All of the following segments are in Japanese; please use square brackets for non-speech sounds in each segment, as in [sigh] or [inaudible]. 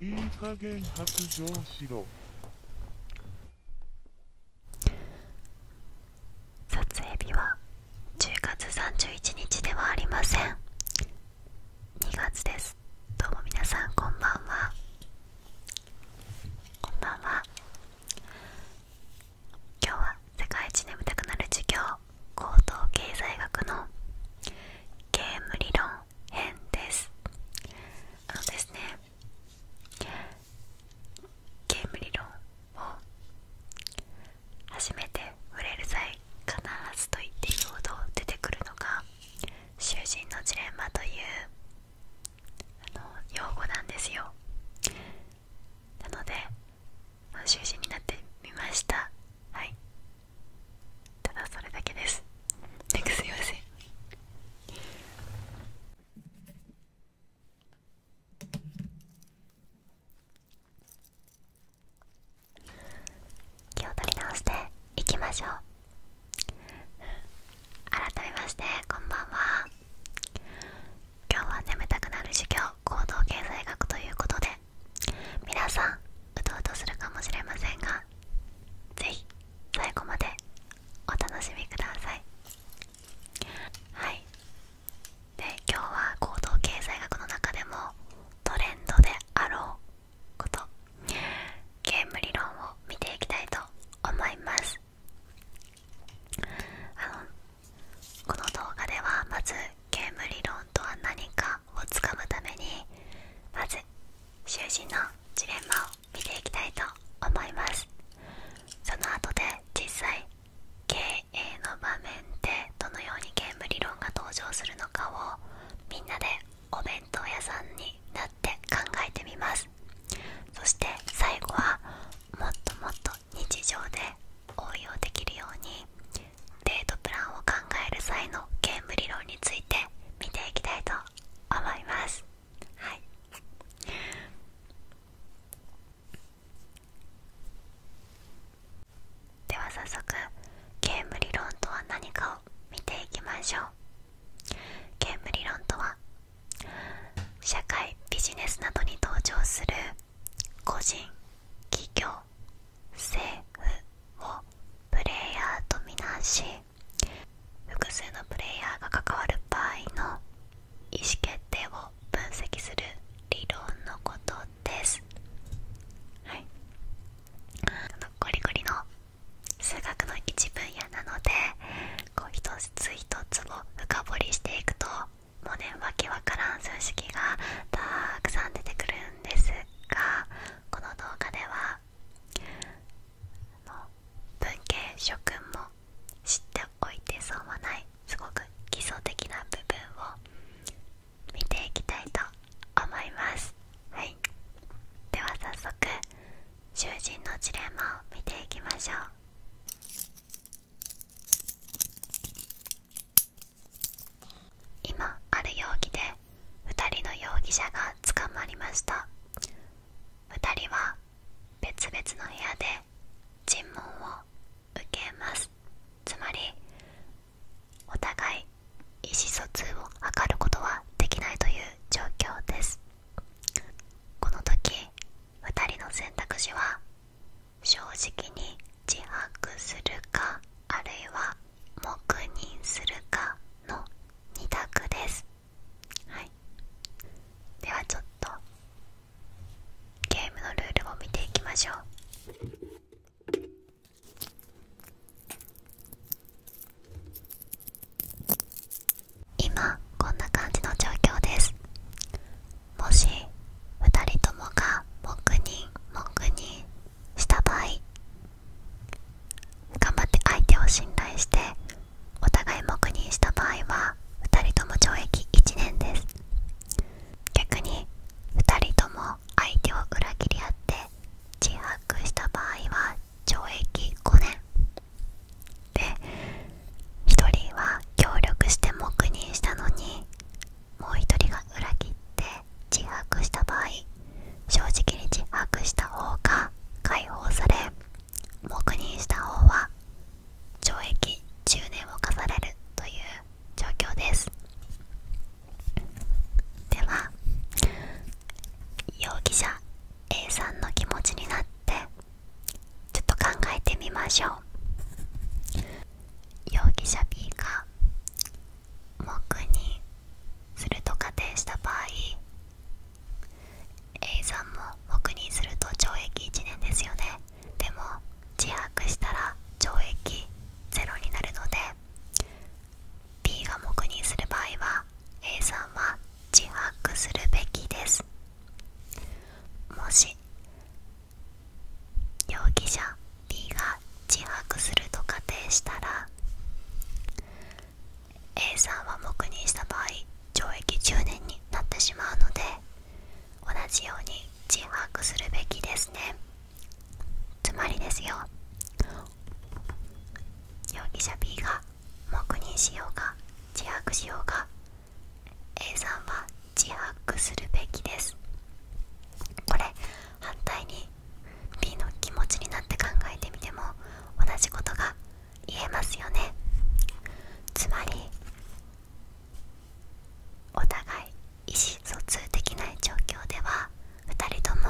いい加減白状しろ撮影日は10月31日ではありません2月ですどうもみなさんこんばんはこんばんは今日は世界一眠たくなる授業高等経済学のゲーム理論編ですあのですねゲーム理論を初めて触れる際必ずと言っていいほど出てくるのが「囚人のジレンマ」というあの用語なんですよなので囚人になってみましたはいただそれだけですすいません気を取り直していきましょう改めましてこんばんは今日は眠たくなる授業行動経済学ということで皆さんうとうとするかもしれませんが是非最後までお楽しみくださいはいで今日は行動経済学の中でもトレンドであろうことゲーム理論を見ていきたいと思いますあのこの動画ではまずゲーム理論とは何かをつかむためにまず囚人のジレンマを見ていきたいと思いますその後で実際経営の場面でどのようにゲーム理論が登場するのかをみんなでお弁当屋さんになって考えてみますそして最後はもっともっと日常で応用できるようにデートプランを考える際のゲーム理論について見ていきたいと思いますはいでは早速ゲーム理論とは何かを見ていきましょうゲーム理論とは社会ビジネスなどに登場する個人企業政府フをプレイヤーとみなし複数のプレイヤーが関わる場合の意思決定を分析する理論のことですはいのゴリゴリの数学の一分野なのでこう一つ一つを深掘りしていくともうねわけわからん数式がたくさん出てくるですがこの動画では文系諸君も知っておいて損はないすごく基礎的な部分を見ていきたいと思います、はい、では早速囚人のジレンマを見ていきましょう今ある容疑で2人の容疑者が捕まりました2人は別々の部屋で尋問を受けますつまりお互い意思疎通を図ることはできないという状況ですこの時2人の選択肢は正直に自白するかあるいは黙認するかの2択ですはいではちょっとゲームのルールを見ていきましょう今こんな感じの状況ですもし2人ともが黙認黙認した場合頑張って相手を信頼してお互い黙認した場合は2人とも懲役1年です逆に2人とも相手を裏切り合って自白した場合は懲役5年で1人は協力して黙認したのにもう一人が裏切って自白した場合正直に自白した方が解放され黙認した方は懲役10年を課されるという状況ですでは容疑者 A さんの気持ちになってちょっと考えてみましょう容疑者 B が黙認すると仮定した場合 A さんも黙認すると懲役1年ですよねでも自白したら懲役0になるので B が黙認する場合は A さんは自白するべきですもし容疑者 B が自白すると仮定したら A さんは黙認した場合懲役10年になってしまうので同じように自白するべきですねつまりですよ容疑者 B が黙認しようが自白しようが A さんは自白するべきですこれ反対に B の気持ちになって考えてみても同じことが言えますよねつまりお互い意思疎通できない状況では2人とも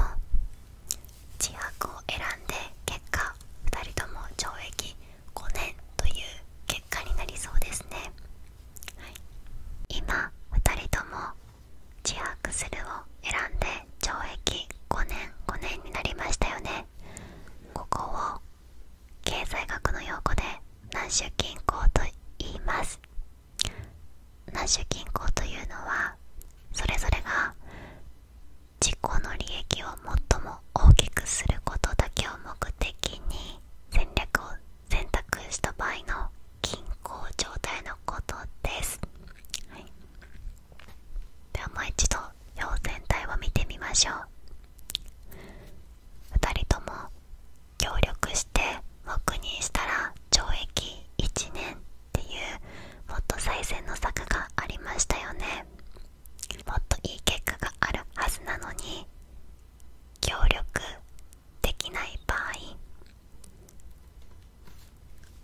自白を選んで結果2人とも懲役5年という結果になりそうですね今2人とも自白するを選んで懲役5年5年になりましたよねここを経済学の用語で南州均衡と言います南州均衡というのはそれぞれが自己の利益を最も大きくすることだけを目的に戦略を選択した場合の均衡状態のことです、はではもう一度表全体を見てみましょう2人とも協力して黙認したら懲役1年っていうもっと最善の策がありましたよねもっといい結果があるはずなのに協力できない場合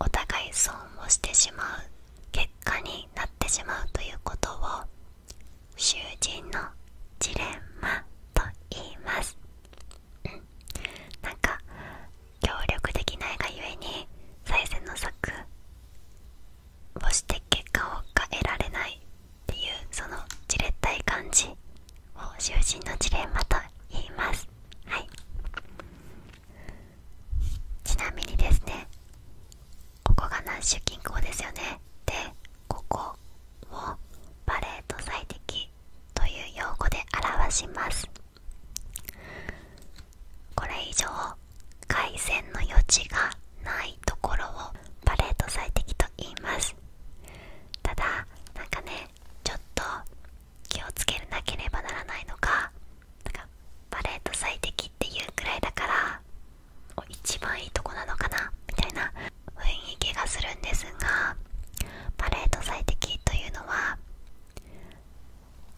お互い損をしてしまう結果になってしまうということを囚人のジレンマと言います、なんか協力できないがゆえに最善の策をして結果を得られないっていうそのじれったい感じを囚人のジレンマと言いますはいちなみにですねここがナッシュ近郊ですよねでここをバレーと最適という用語で表しますこれ以上回線の余地がないところをバレート最適と言いますただなんかねちょっと気をつけなければならないのがなんかバレーと最適っていうくらいだから一番いいとこなのかなみたいな雰囲気がするんですがパレーと最適というのは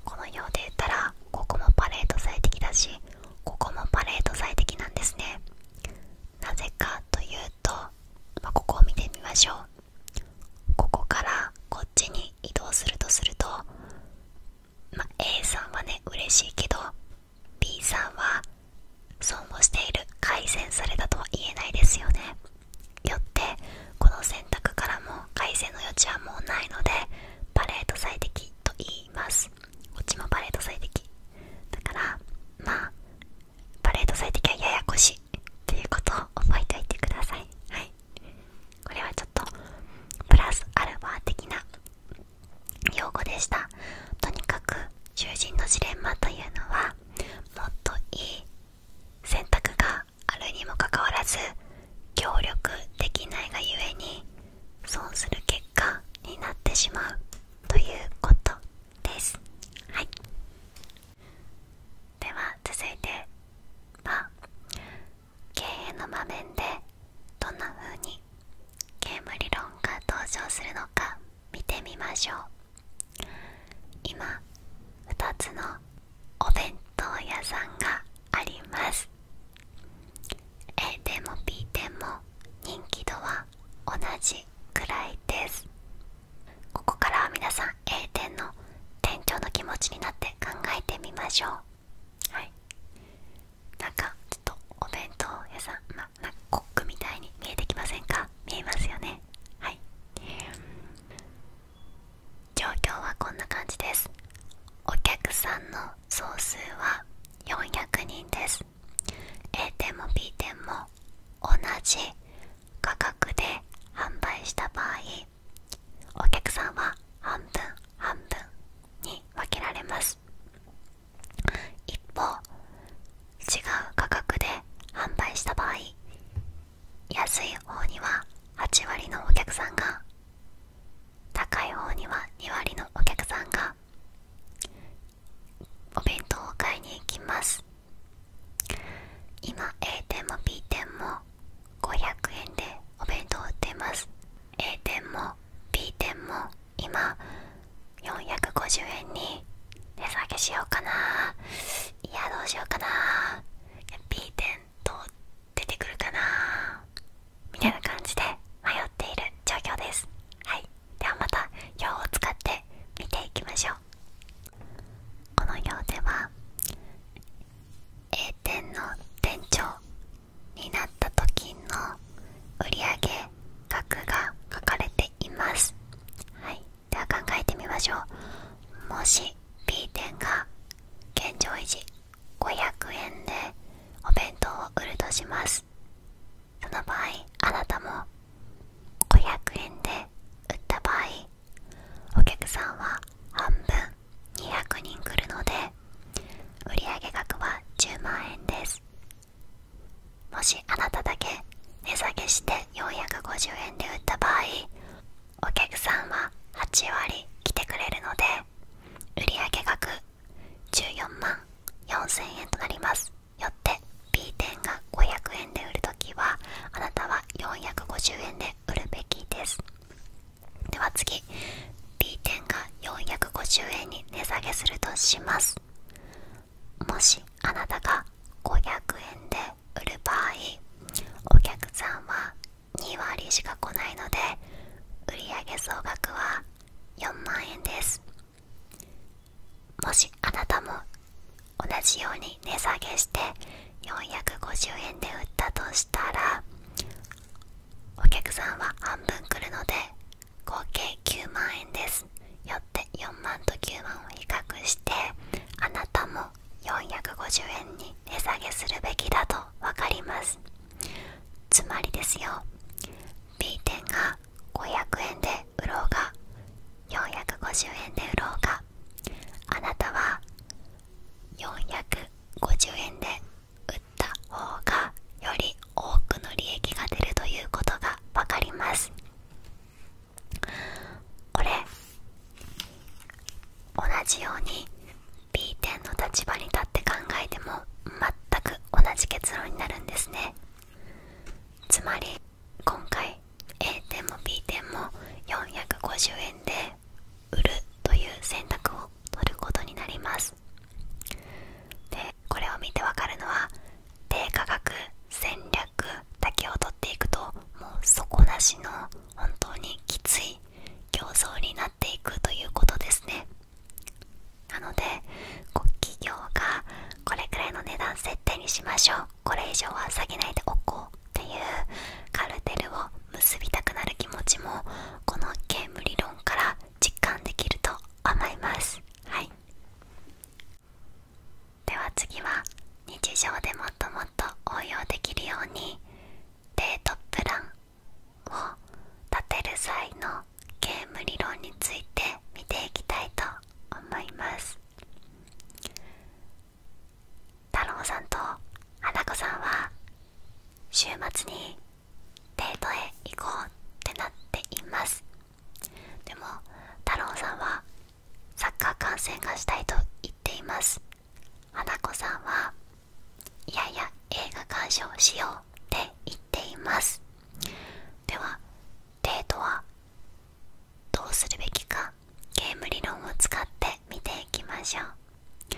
このようで言ったらここもパレーと最適だしここもパレーと最適なんですねなぜかというと、まここを見てみましょうここからこっちに移動するとすると、ま A さんはね嬉しいけど B さんは損をしている改善されたとは言えないですよねよってこの選択からも改善の余地はもうないのでパレード最適と言いますこっちもパレード最適だからまあパレード最適はややこしいということを覚えておいてくださいはいこれはちょっとプラスアルファ的な用語でしたとにかく囚人のジレンマというのはもっといい選択があるにもかかわらず協力できないがゆえに損する結果になってしまうということですはいでは続いては経営の場面でどんな風にゲーム理論が登場するのか見てみましょう今2つのお弁当屋さんがあります A 店も B 店も人気度は同じいらいですここからは皆さん A 店の店長の気持ちになって考えてみましょうはいなんかちょっとお弁当屋さん、ま、なコックみたいに見えてきませんか見えますよねはい状況はこんな感じですお客さんの総数は400人です A 店も B 店も同じ価格で販売した場合お客さんは半分半分に分けられます一方違う価格で販売した場合安い方には8割のお客さんが高い方には2割のお客さんがお弁当を買いに行きます今 A 店も B 店も500円でお弁当を売っています A 店も B 店も今450円に値下げしようかないやどうしようかな B 店どう出てくるかなみたいな感じで迷っている状況ですはいではまた表を使って見ていきましょうこの表では A 店の店長になった時の売上額が書かれていますはいでは考えてみましょうもし B 店が現状維持500円でお弁当を売るとしますその場合あなたも500円で売った場合お客さんは半分200人来るので売上額は10万円ですもしあなただけ値下げして450円で売った場合お客さんは8割来てくれるので売上額14万4000円となりますよって B 店が500円で売るときはあなたは450円で売るべきですでは次 B 店が450円に値下げするとしますもしあなたが500円で売る場合お客さんは2割しか来ないので売上総額は4万円ですもしあなたも同じように値下げして450円で売ったとしたらお客さんは半分来るので合計9万円ですよって4万と9万を比較してあなたも450円に値下げするべきだと分かりますつまりですよ B 点がが500円で売ろうが450円で売ろうがあなたは450円で売った方がより多くの利益が出るということが分かりますこれ同じように B 点の立場に立って考えても全く同じ結論になるんですねつまり今回 A 点も B 点も450円で売るという選択を取ることになりますでこれを見てわかるのは低価格戦略だけを取っていくともう底なしの本当にきつい競争になっていくということですねなので企業がこれくらいの値段設定にしましょうこれ以上は下げないでおこうっていうカルテルを結びたくなる気持ちもこのゲーム理論から実感できると思いますはいでは次は日常でもっともっと応用できるようにデートプランを立てる際のゲーム理論について見ていきたいと思います太郎さんと花子さんは週末にデートへ行こうってなっていますでも太郎さんはサッカー観戦がしたいと言っています花子さんはいやいや映画鑑賞しようって言っていますではデートはどうするべきかゲーム理論を使って見ていきましょう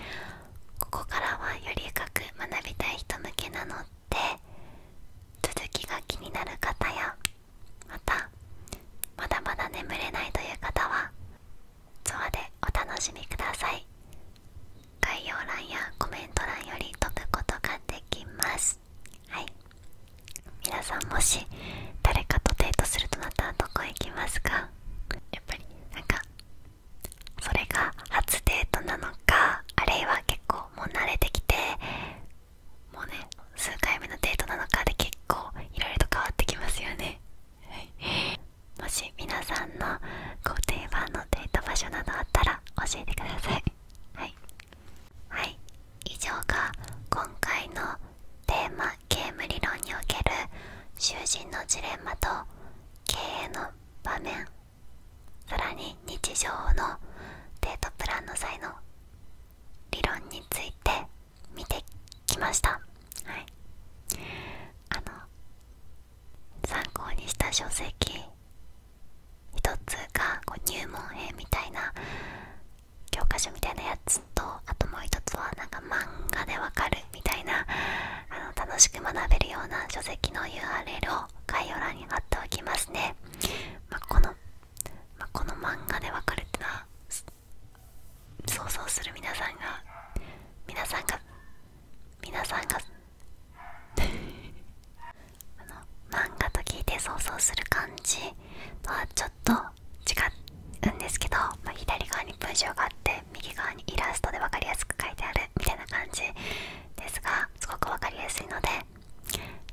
ここからはより深く学びたい人向けなので続きが気になる方やまたまだまだ眠れないという方はツアーでお楽しみください概要欄やコメント欄より飛くことができますはい皆さんもし誰かとデートするとなったらどこへ行きますかやっぱりなんかそれが初デートなのかあるいは結構もう慣れてきてもうね数回目のデートなのかで結構いろいろと変わってきますよね、はい、もし皆さんのご定番のデート場所などあったら教えてくださいはい、はい、以上が今回のテーマゲーム理論における囚人のジレンマと経営の場面さらに日常のデートプランの際の理論について見てきましたはいあの参考にした書籍一つがこう入門編みたいな教科書みたいなやつとあともう一つはなんか漫画でわかるみたいなあの楽しく学べるような書籍の URL を概要欄に貼っておきますね、まこの、まこの漫画でわかるって想像する皆さんが皆さんが皆さんが [laughs] 漫画と聞いて想像する感じとはちょっと違うんですけど、ま左側に文章があって右側にイラストで分かりやすく書いてあるみたいな感じですがすごく分かりやすいので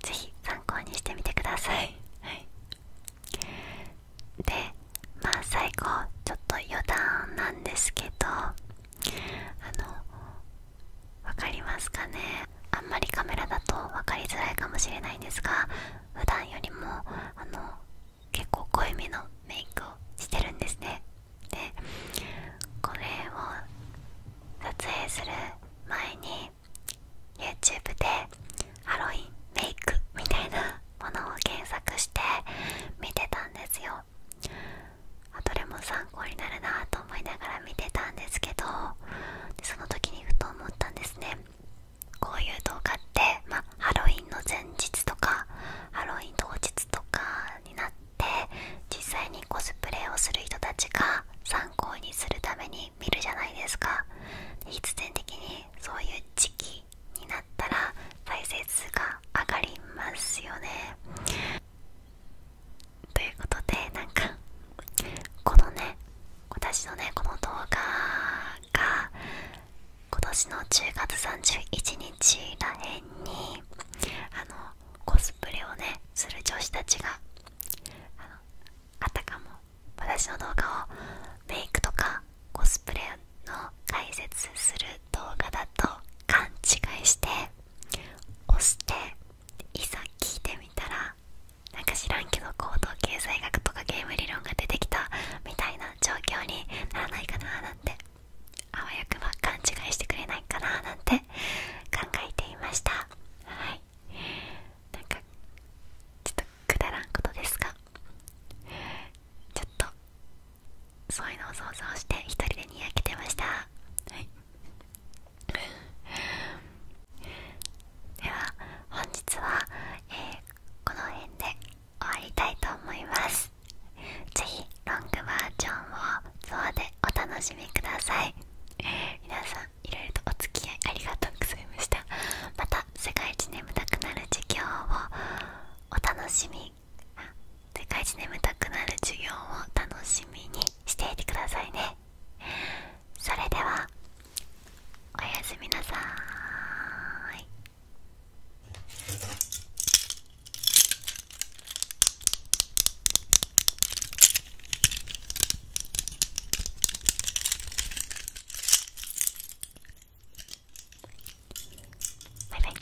是非参考にしてみてください。でまあ最後ちょっと余談なんですけどあの分かりますかねあんまりカメラだと分かりづらいかもしれないんですが普段よりもあの結構濃いめのメイクをしてるんですねでこれを撮影する前に YouTube でハロウィンメイクみたいなものを検索して見てたんですよどれも参考になるなと思いながら見てたんですけどその時にふと思ったんですねこういう動画って、まハロウィンの前日とかハロウィン当日とかになって実際にコスプレをする人たちが参考にするために見るじゃないですか必然的にそういう時期になったら再生数が上がりますよねということでなんかこのね私のねこの動画が今年の10月31日らへんにあのコスプレをねする女子たちがあのたかも私の動画をメイクとかコスプレの解説する動画だと勘違いして押していざ聞いてみたらなんか知らんけど行動経済学とかゲーム理論が出てきたみたいな状況にならないかななんてあわよくば勘違いしてくれないかななんて考えていましたはいなんかちょっとくだらんことですがちょっとそういうのを想像して1人でにやけてましたはいでは本日は、えこの辺で終わりたいと思います是非ロングバージョンをゾアでお楽しみください皆さんいろいろとお付き合いありがとうございましたまた世界一眠たくなる授業をお楽しみ世界一眠たくなる授業を楽しみにしていてくださいねそれではおやすみなさいバイバイ